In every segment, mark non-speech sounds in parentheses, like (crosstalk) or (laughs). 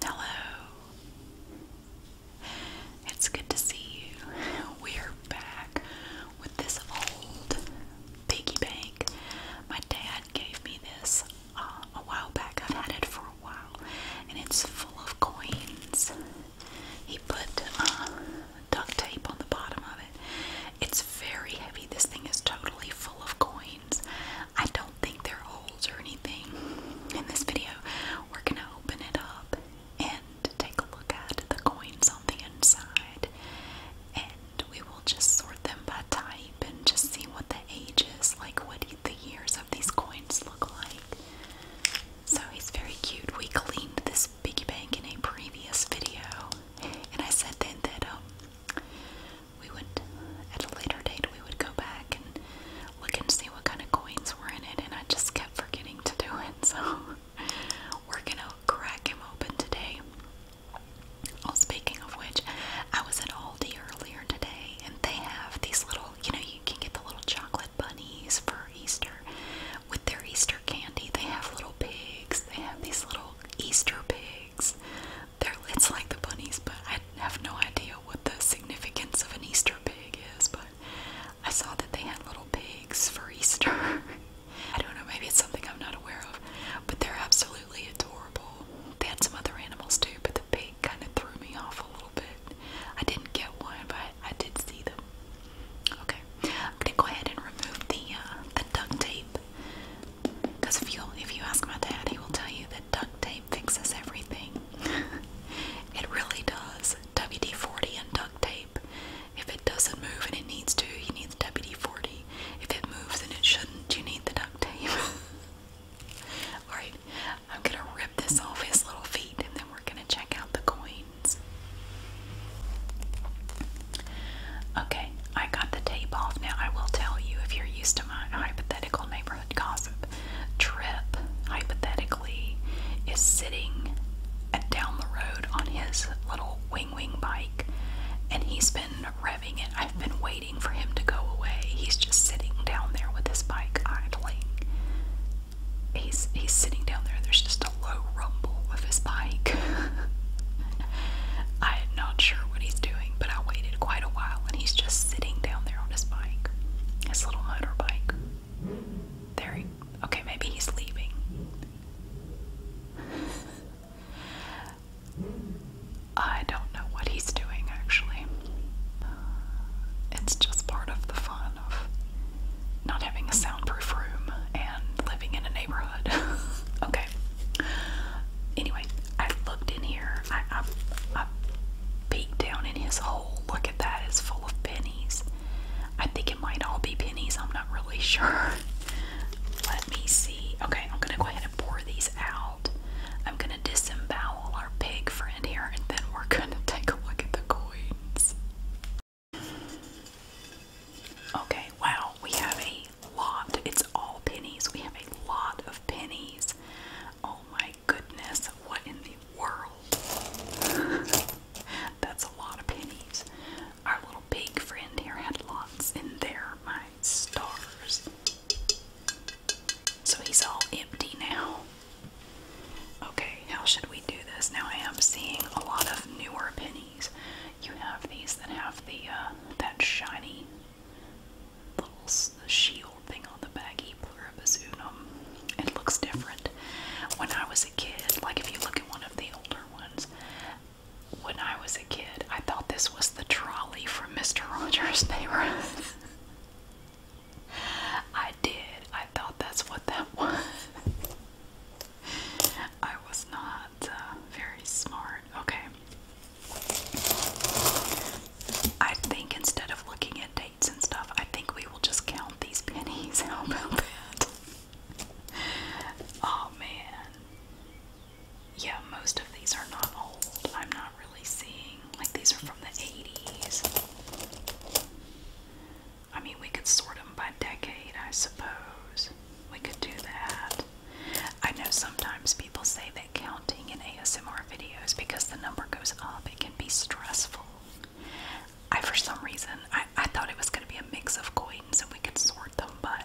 Hello. It's good to see you. We're back with this old piggy bank. My dad gave me this uh, a while back. I've had it for a while, and it's full of coins. He put uh, duct tape on the bottom of it. It's very heavy. This thing is totally full of coins. I don't think they are holes or anything in this video. We're gonna open it up and take a look at the coins on the inside, and we will just sort them by type and just see what the age is, like what the years of these coins look like. So he's very cute. We cleaned this piggy bank in a previous video, and I said then that um, we would, at a later date, we would go back and look and see what kind of coins were in it, and I just kept forgetting to do it. (laughs) So we're gonna crack him open today. Oh, speaking of which, I was at Aldi earlier today, and they have these little, you know, you can get the little chocolate bunnies for Easter. With their Easter candy, they have little pigs. They have these little Easter pigs. They're, it's like the bunnies, but I have no idea what the significance of an Easter pig is. But I saw that they had little pigs for Easter. (laughs) I don't know, maybe it's something I'm not aware of, but they're absolutely adorable. They had some other animals too, but the pig kind of threw me off a little bit. I didn't get one, but I did see them. Okay, I'm gonna go ahead and remove the uh, the duct tape because if you if you ask my dad, he will tell you that duct tape fixes everything. (laughs) it really does. WD-40 and duct tape. If it doesn't move and it needs to, you need the WD-40. If it moves and it shouldn't, you need the duct tape. (laughs) Alright, I'm gonna rip this off his little feet and then we're gonna check out the coins. Okay, I got the tape off. Now, I will tell you if you're used to my hypothetical neighborhood gossip, Tripp, hypothetically, is sitting down the road on his little wing wing bike and he's been revving it. I've been waiting for him to go away. He's just sitting down there with his bike idling. He's, he's sitting down there. There's just a low rumble of his bike. (laughs) I'm not sure what he's doing, but I waited quite a while, and he's just sitting down there on his bike, his little motorbike. There he. Okay, maybe he's leaving. (laughs) I don't know what he's doing actually. It's just part of the fun of not having a soundproof room and living in a neighborhood. (laughs) okay anyway, I looked in here. I, I, peeked down in his hole. Look at that. It's full of pennies. I think it might all be pennies. I'm not really (laughs) sure. Let me see. Okay, I'm going to go ahead and pour these out. I'm going to disembowel our pig friend here and then we're (laughs) going to take a look at the coins. Okay, wow. We have a lot. It's all pennies. We have a lot of pennies. Oh my goodness, what in the world? (laughs) That's a lot of pennies. Our little pig friend here had lots in there, my stars. So he's all empty now. Okay, how should we do this? Now I am seeing a lot of newer pennies. You have these that have the uh, that shiny little shield thing on the back, pluribus unum. It looks different. When I was a kid, like if you look at one of the older ones, when I was a kid, I thought this was the trolley from Mr. Rogers' Neighborhood. (laughs) I did. I thought that's what that (laughs) was. I was not uh, very smart. Okay. I think instead of looking at dates and stuff, I think we will just count these pennies. (laughs) How about that? oh man. Yeah, most of these are not old. I'm not really seeing. Like these are from the 80s. I mean, we could sort them by decade, I suppose. We could do that. I know sometimes people say that counting in ASMR videos, because the number goes up, it can be stressful. I, for some reason, I, I thought it was going to be a mix of coins and we could sort them, but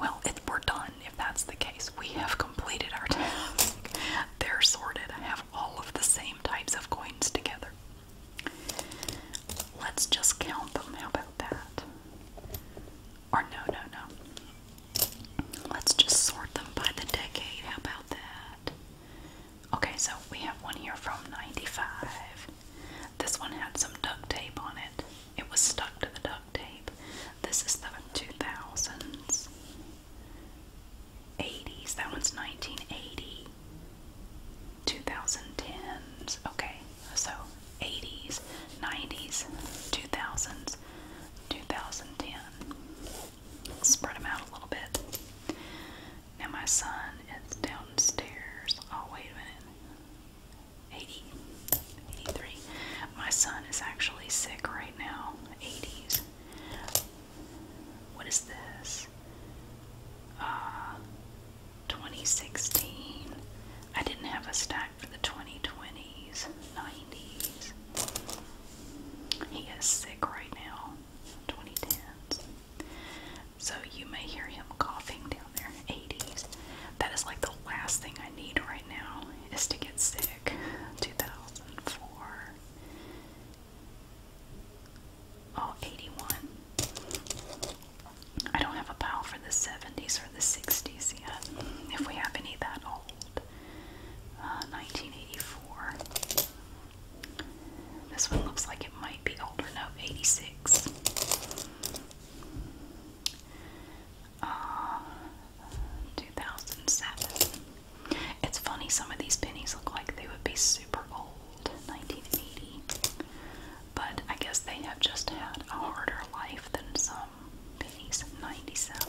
well, it, we're done if that's the case. We have completed our (laughs) task. They're sorted. I have all of the same types of coins together. Let's just count them. How about that? Or no, no, no. Let's just sort them by the decade. How about that? Okay, so we have one here from 95. This one had some duct tape on it. It was stuck to the duct tape. This is the 2000s. 80s. That one's 1980. 2010s. Okay, so 80s, 90s, 2000s. 2010. Spread them out a little bit. Now my son is downstairs. Oh, wait a minute. 80, 83. My son is actually sick right now. 80s. What is this? Uh, 2016. I didn't have a stack for the 2020s, 90s. He is sick right now, 2010s. So you may hear him coughing down there in the 80s. That is like the last thing I need right now is to get sick. 2004. Oh, 81. I don't have a pal for the 70s or the 60s yet, if we have any that old. 1984. Uh, this one looks like it might be older, no, 86. Uh, 2007. It's funny, some of these pennies look like they would be super old, 1980. But I guess they have just had a harder life than some pennies. 97.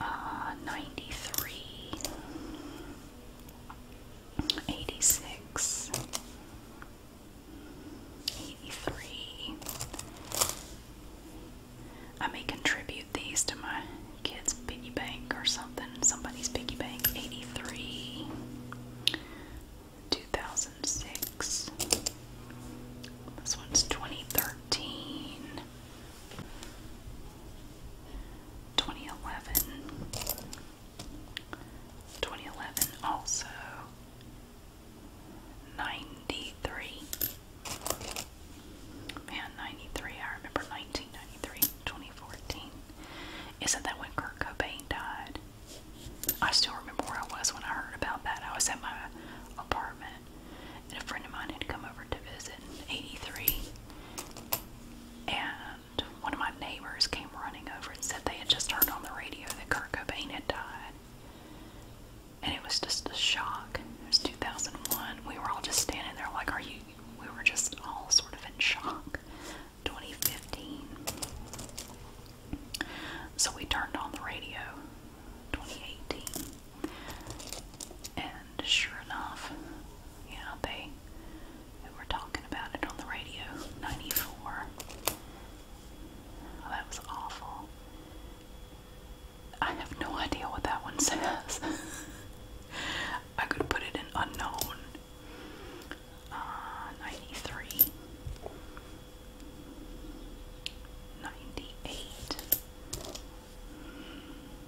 uh, 93, I may contribute these to my kids' piggy bank or something, somebody's piggy bank. 83, 2006. This one's 2013. 2011. also 93. Man, 93. I remember 1993, 2014. Isn't that when Kurt Cobain died? I still remember where I was when I heard about that. I was at my apartment and a friend of mine had come over to visit in 83 and one of my neighbors came running over and said they had just heard on the radio that Kurt Cobain had died and it was just a shock it was 2001 we were all just standing there like are you we were just all sort of in shock 2015 so we turned on the radio 2018. And sure enough, you they, were talking about it on the radio. 94. that was awful. I have no idea what that one (laughs) says. I could put it in unknown. Uh, 93. 98.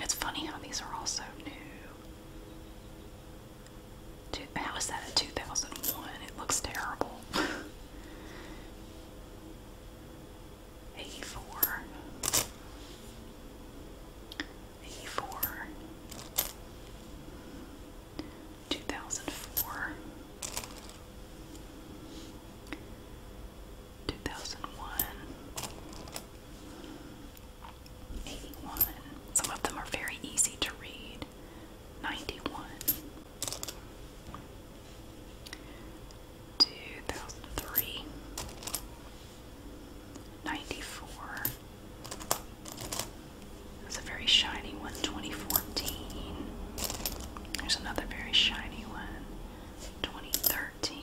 It's funny how these are all so new. Two, how is that a 2001? It looks terrible. (laughs) 84. 84. 2004. 2001 81. Some of them are very easy to read. 91. 2003. 94. That's a very shiny one, 2014. There's another very shiny one, 2013.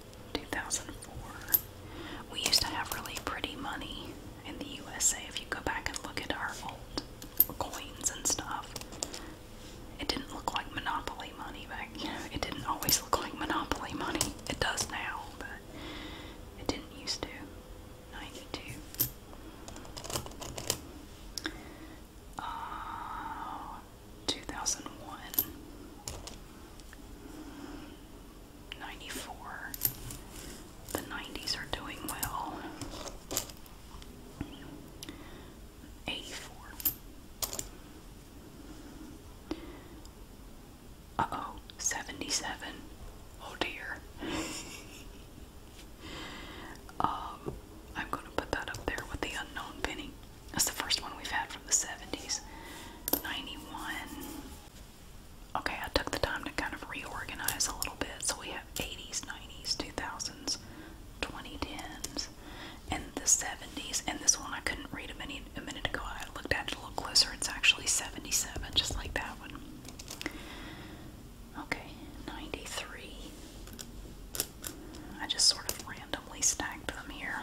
2004. We used to have really pretty money in the USA. If you go back and look at our old coins and stuff, it didn't look like Monopoly money back. (laughs) it didn't always look like Monopoly money. It does now, but it didn't used to. 92. Uh, 2001, The 90s are doing well. 84. Uh oh, Oh dear. (laughs) um, I'm gonna put that up there with the unknown penny. That's the first one we've had from the 70s. 91. Okay, I took the time to kind of reorganize a little bit. So we have 80s, 90s, 2000s, 2010s, and the 70s. And this one I couldn't read a minute, a minute ago. I looked at it a little closer. It's actually 77, just like that one. Okay, 93. I just sort of randomly stacked them here.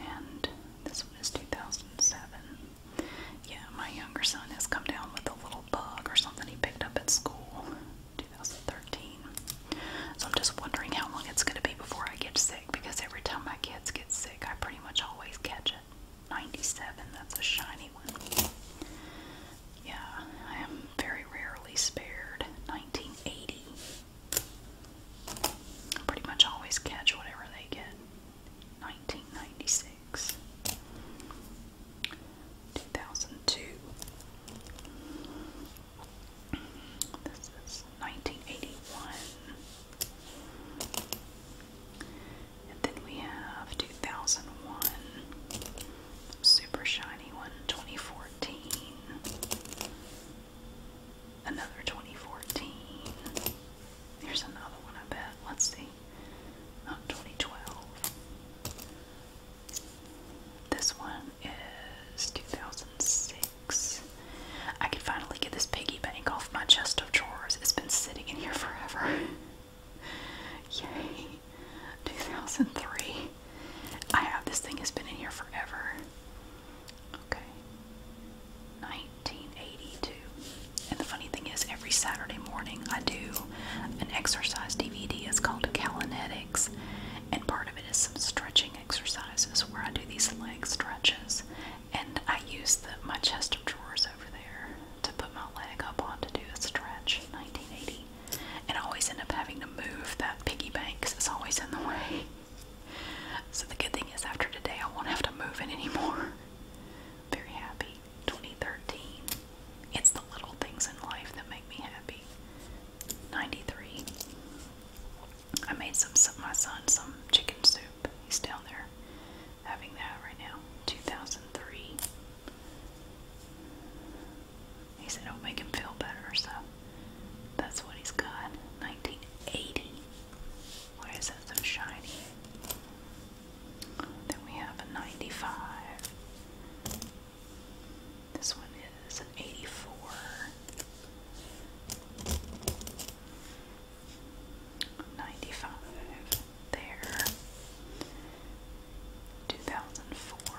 and this one is 2007. Yeah, my younger son has come down with a little bug or something he picked up at school, 2013. So I'm just wondering how long it's going to be before I get sick because every time my kids get sick, I pretty much always catch it. 97, that's a shiny one. Yeah, I am very rarely spared. 1980. I pretty much always catch whatever they get. 1996, 2002. This is 1981. And then we have 2001. Super shiny one, 2014. Another 2014. Here's another one, I bet. Let's see. Not 2012. This one is 2006. I can finally get this piggy bank off my chest of drawers. It's been sitting in here forever. (laughs) Yay. 2003. I have this thing has been in here forever. Okay. 1982. And the funny thing is, every Saturday morning I do an exercise DVD. It's called Calinetics, and part of it is some stretching exercises where I do these leg stretches, and I use my chest of drawers over there to put my leg up on to do a stretch. 1980, and I always end up having to move that piggy bank because it's always in the way. So the good thing is, after today, I won't have to move it anymore. (laughs) Very happy. 2013. It's the little things in life that make me happy. 93. I made some, my son some chicken soup. He's down there having that right now. 2003. He said it'll make him feel better, so that's what he's got. 1980. What is that so shiny? Then we have a 95. This one is an 84. Ninety-five there. Two thousand four.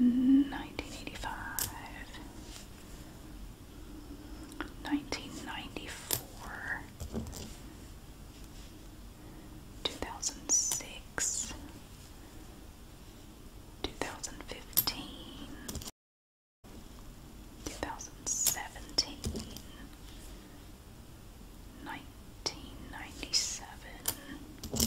1985 1994 2006 2015 2017 1997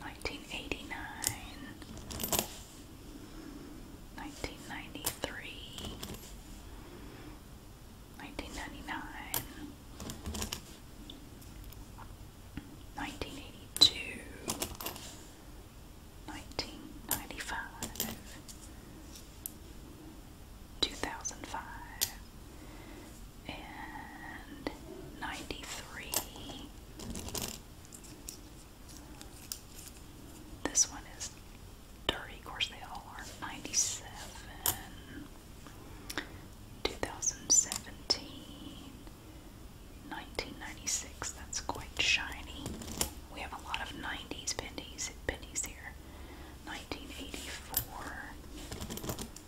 1989 1982 1995 2005 and ninety three. This one is dirty, of course, they all are. Ninety seven, two thousand Two thousand seventeen. Nineteen ninety six. That's quite shiny. We have a lot of nineties pennies here. Nineteen eighty four.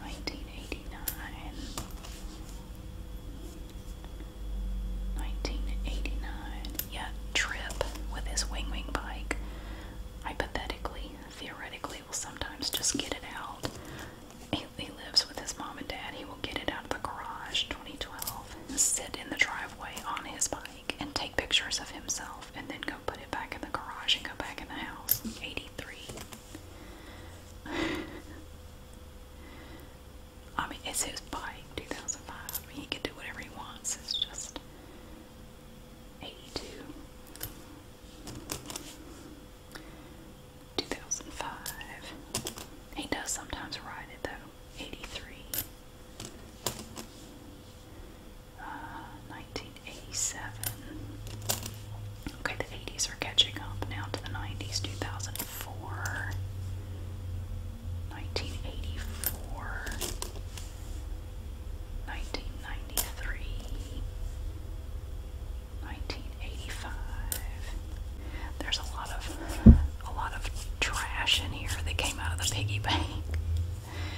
1989 1989 yeah trip with his wing wing bike hypothetically theoretically will sometimes just get it out he, lives with his mom and dad he will get it out of the garage 2012 sit in the driveway on his bike and take pictures of himself and then go put it back in the garage and go back in the house 83. (laughs) I mean, it's his bike, 2005. he can do whatever he wants. It's just 82. 2005. He does sometimes ride it though. 83. 1987. Okay, the 80s are catching up now to the 90s. 2004, 1984, 1993, 1985. There's a lot of a lot of trash in here that came out of the piggy bank.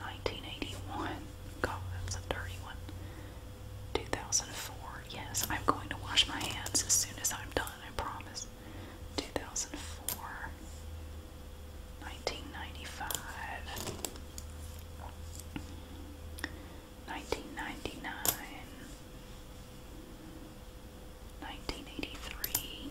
1981. God, that's a dirty one. 2004. Yes, I'm going to wash my hands as soon as I'm done, I promise. 2004. 1995. 1999. 1983.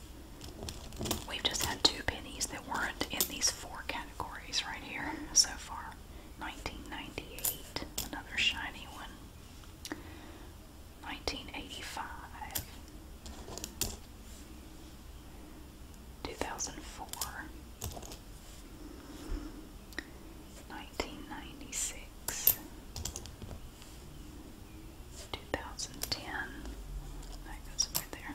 We've just had two pennies that weren't in these four categories right here so far. 1998, another shiny one. 1985. 2004. 1996. 2010. That goes right there.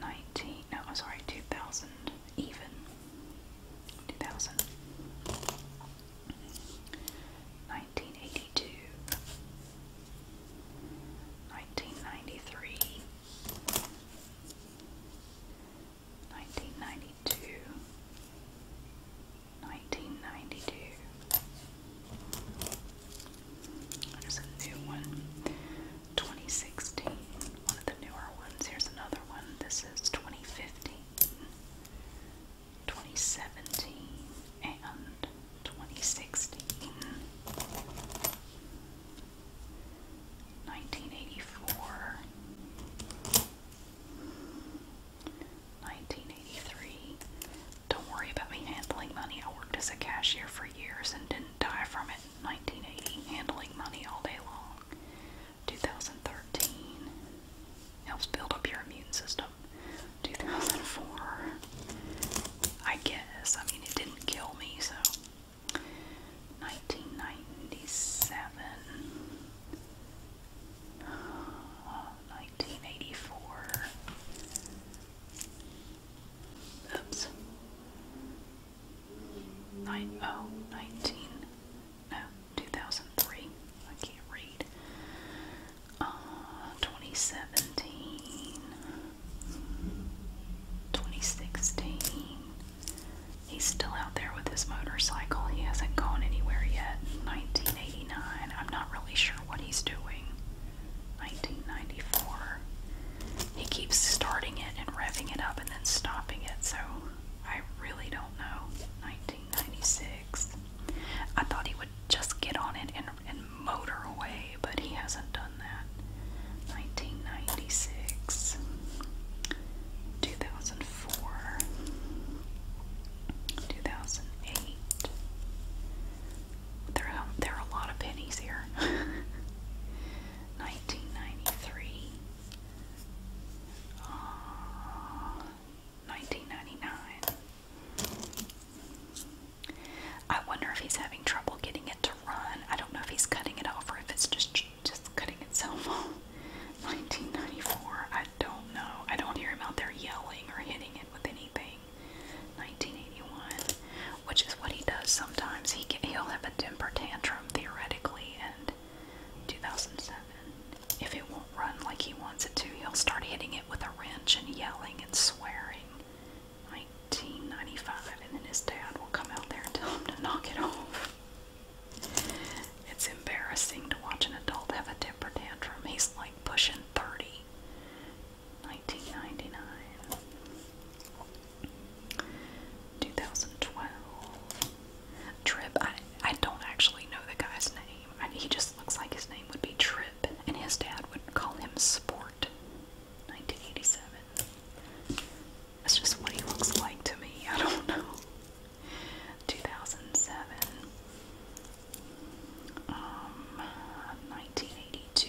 nineteen no I'm sorry, two thousand even. Two thousand nineteen eighty two nineteen ninety three 1992 1992 there's a new one. 2016. One of the newer ones. Here's another one. This is 2015, 2017, and 2016. 1984. 1983. Don't worry about me handling money. I worked as a cashier for years and didn't die from it 1980, handling money all day long. 2013 helps build up your immune system. 2004, I guess. I mean, it didn't kill me, so. 1997, 1984. (sighs) Oops. Nine oh nineteen. No, two thousand three. I can't read. Uh, 2017, 2016. He's still out there with his motorcycle. He hasn't gone anywhere yet. 1989. I'm not really sure what he's doing. 1994. He keeps starting it and revving it up and then stopping it, so I really don't know. 1996. I thought he would just get on it and, and motor away, but he hasn't done that. 1996. 2004. 2008. There are, there are a lot of pennies here. 1993. (laughs) Uh, 1999. I wonder if he's having trouble getting it to run. I don't know if he's cutting it off or if it's just just cutting itself off. 1994. (laughs) I don't know. I don't hear him out there yelling or hitting it with anything. 1981 which is what he does sometimes. He can, he'll have a temper tantrum theoretically in 2007. If it won't run like he wants it to, he'll start hitting it with a wrench and yelling and swearing. 1995, and then his dad will come out there and tell him to knock it off. It's embarrassing to watch an adult have a temper tantrum. He's like pushing 30. 1999, 2012. Trip. I I don't actually know the guy's name. he just looks like his name would be Trip, and his dad would call him Sport. 1987. That's just what he looks like to me. I don't know. 2007. Um, 1982.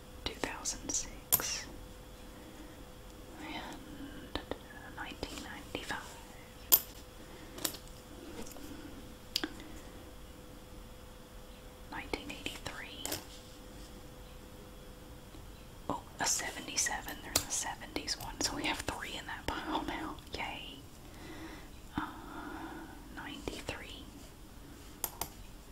2006 and 1995. Nineteen eighty three. Oh, a seventy seven. There's a seventies one, so we have three in that pile now. Yay. Uh, ninety three.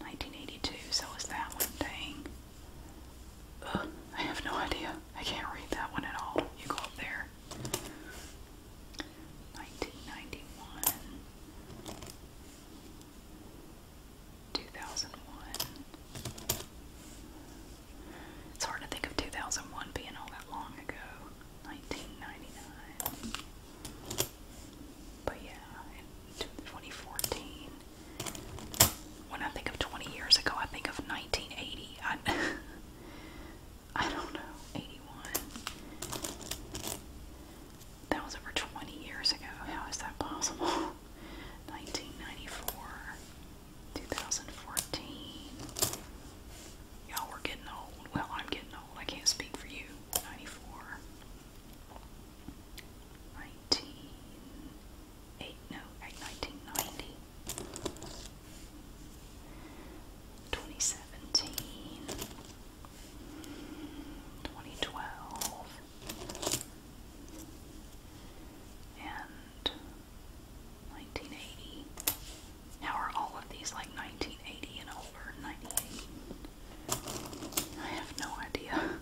1982, so was that one. thing? I have no idea. I can't read that one at all. You go up there. 1991. 2001. It's hard to think of 2001 being all that long ago. 1999. But yeah, 2014, when I think of 20 years ago, I think of 1980. I, (laughs) I don't know, 81. That was over 20 years ago. How is that possible? 1994, (laughs) 2014. Y'all were getting old. Well, I'm getting old. I can't speak for you. 94 nineteen eight no eight nineteen ninety twenty seventeen twenty twelve and 1980. Now are all of these like 1980 and over? 98? I have no idea. (laughs)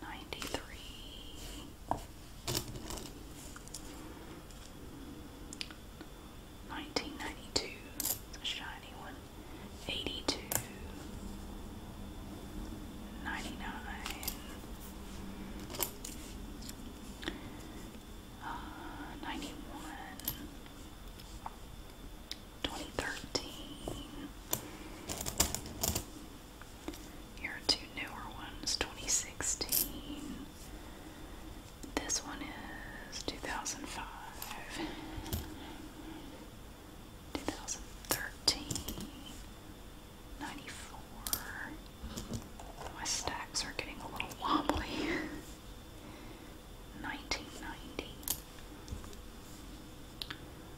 Ninety-three. Nineteen ninety-two. A shiny one. Eighty-two. Ninety-nine. Uh, Ninety-one. 2013. Here are two newer ones, 2016. This one is 2005. 2013. 94. My stacks are getting a little wobbly. 1990. (laughs)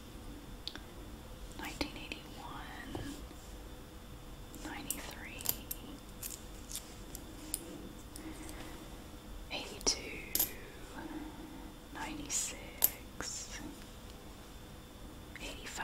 1981, 82, 96, 85,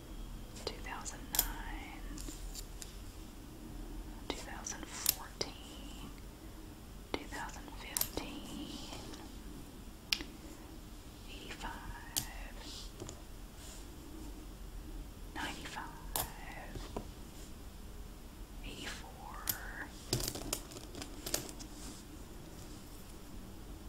2009, 2014, 2015, 85, 95, 84,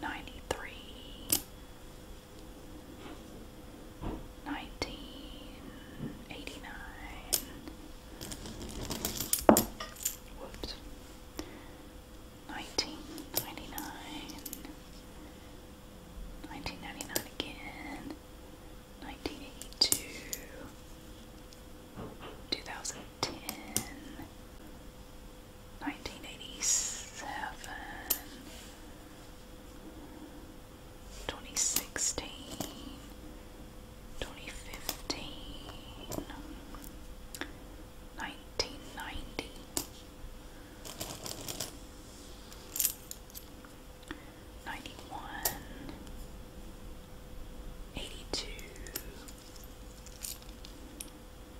ninety three, nineteen eighty nine, whoops, nineteen ninety nine, nineteen ninety nine again, nineteen eighty two. 2010 1987, 2016, 2015, 1990.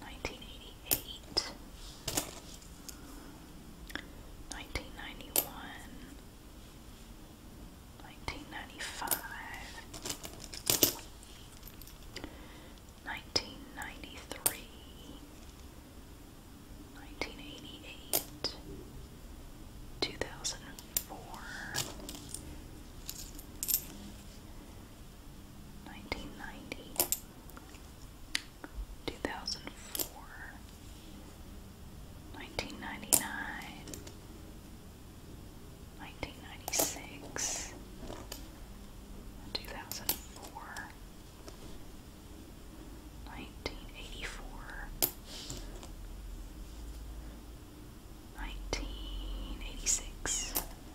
1988, 1991, 1995, 1993, 1988, 2004 1990, 2004, 1999, 1996, 2004, 1984, 1986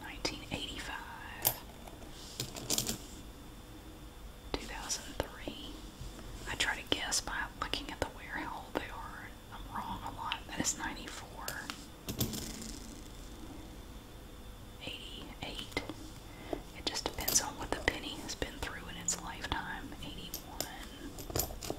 1985, 2003. I try to guess by looking at the wear. how old they are. I'm wrong a lot. That is 94, 88. It just depends on what the penny has been through in its lifetime. 81.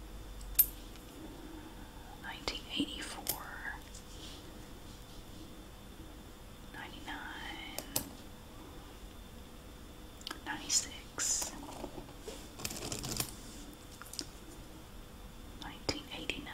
1984 99 96 1989 1984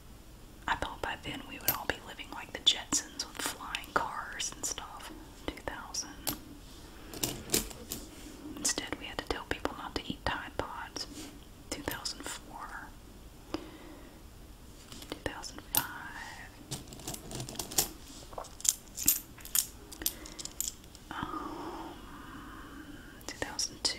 I thought by then we would all be living like the Jetsons with flying cars and stuff. 2000. Instead, we had to tell people not to eat Tide Pods. 2004. 2005. Um, 2002.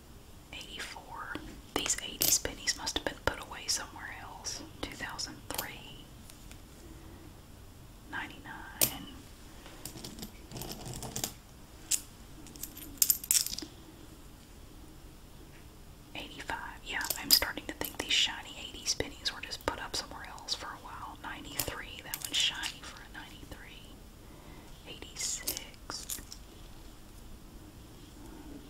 84. These 80s pennies must have been put away somewhere else. 2003. 99. Eighty-five. Yeah, I'm starting to think these shiny '80s pennies were just put up somewhere else for a while. Ninety-three. That one's shiny for a ninety-three. Eighty-six.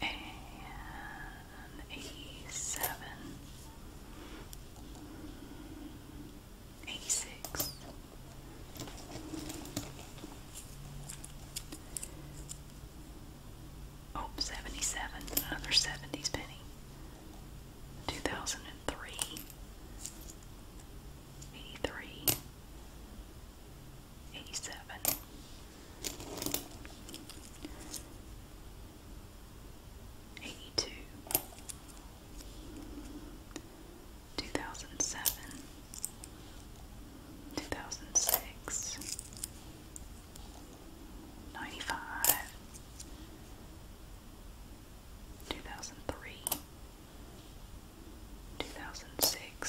and eighty seven, eighty six, oh, seventy seven, another seventies penny, two thousand and three, eighty three. 87 82 2007 2006 2003 2006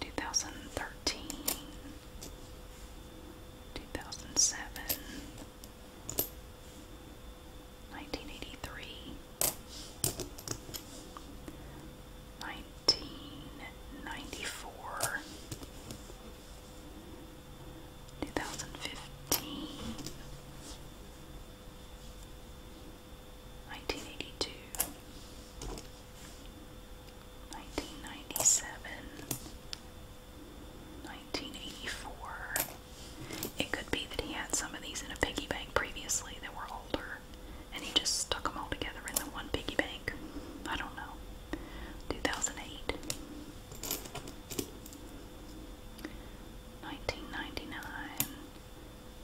2013, 2007, 1983, 1994, 2015, 1982, 1997, 1984. It could be that he had some of these in a piggy bank previously that were older and he just stuck them all together in the one piggy bank. I don't know. 2008. 1999,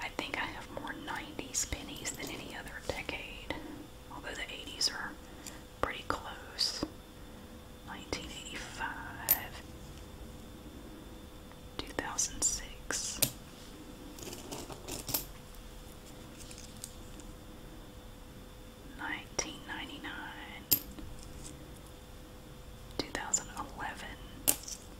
I think I have more 90s pennies than any other decade, although the 80s are pretty close. 1985, 2006. Nineteen ninety nine, two thousand eleven,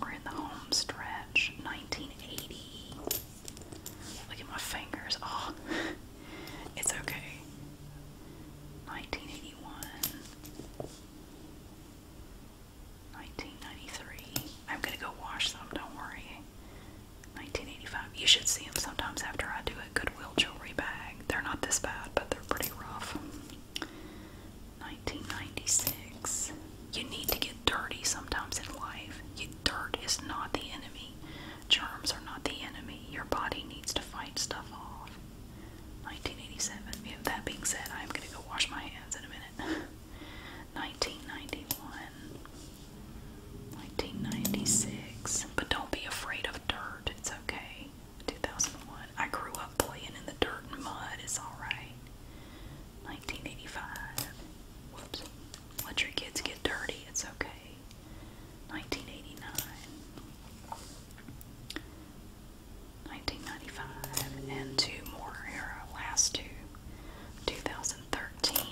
We're in the home 1980. Look at my fingers. Oh, (laughs) it's okay. 1981, 1993. I'm gonna go wash them, don't worry. 1985. You should see them sometimes after I do a Goodwill jewelry bag. They're not this bad, but they're pretty rough. 1996. You need to get dirty sometimes in life. You, dirt is not the enemy. Germs are not the enemy. Your body needs to fight stuff off. 1987. Yeah, that being said, I'm going to go wash my hands in a minute. 1991. (laughs) 1996. But don't be afraid of dirt. It's okay. 2001. I grew up playing in the dirt and mud. It's alright. 1985. Whoops. Let your kids get dirty. It's okay. 1989. 1995. And two more here. Last two. 2013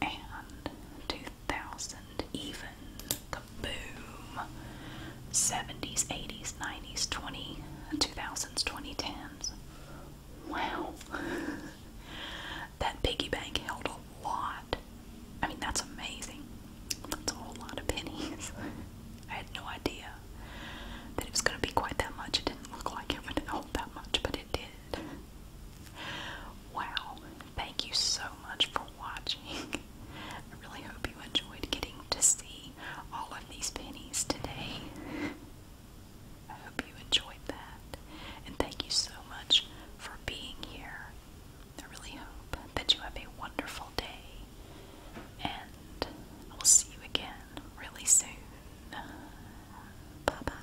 and 2000 even. Kaboom. 70s, 80s, 90s, 20, 2000s, 2010s. Wow. (laughs) that piggy bank held a lot. I mean, that's amazing. That's a whole lot of pennies. (laughs) I had no idea that it was going to be quite that much. It didn't look like it would hold that much, but it did. Wow. Thank you so much for watching. (laughs) I really hope you enjoyed getting to see all of these pennies today. I hope you enjoyed that. And thank you so much for being here. I really hope that you have a wonderful day. And I will see you again really soon. Bye bye.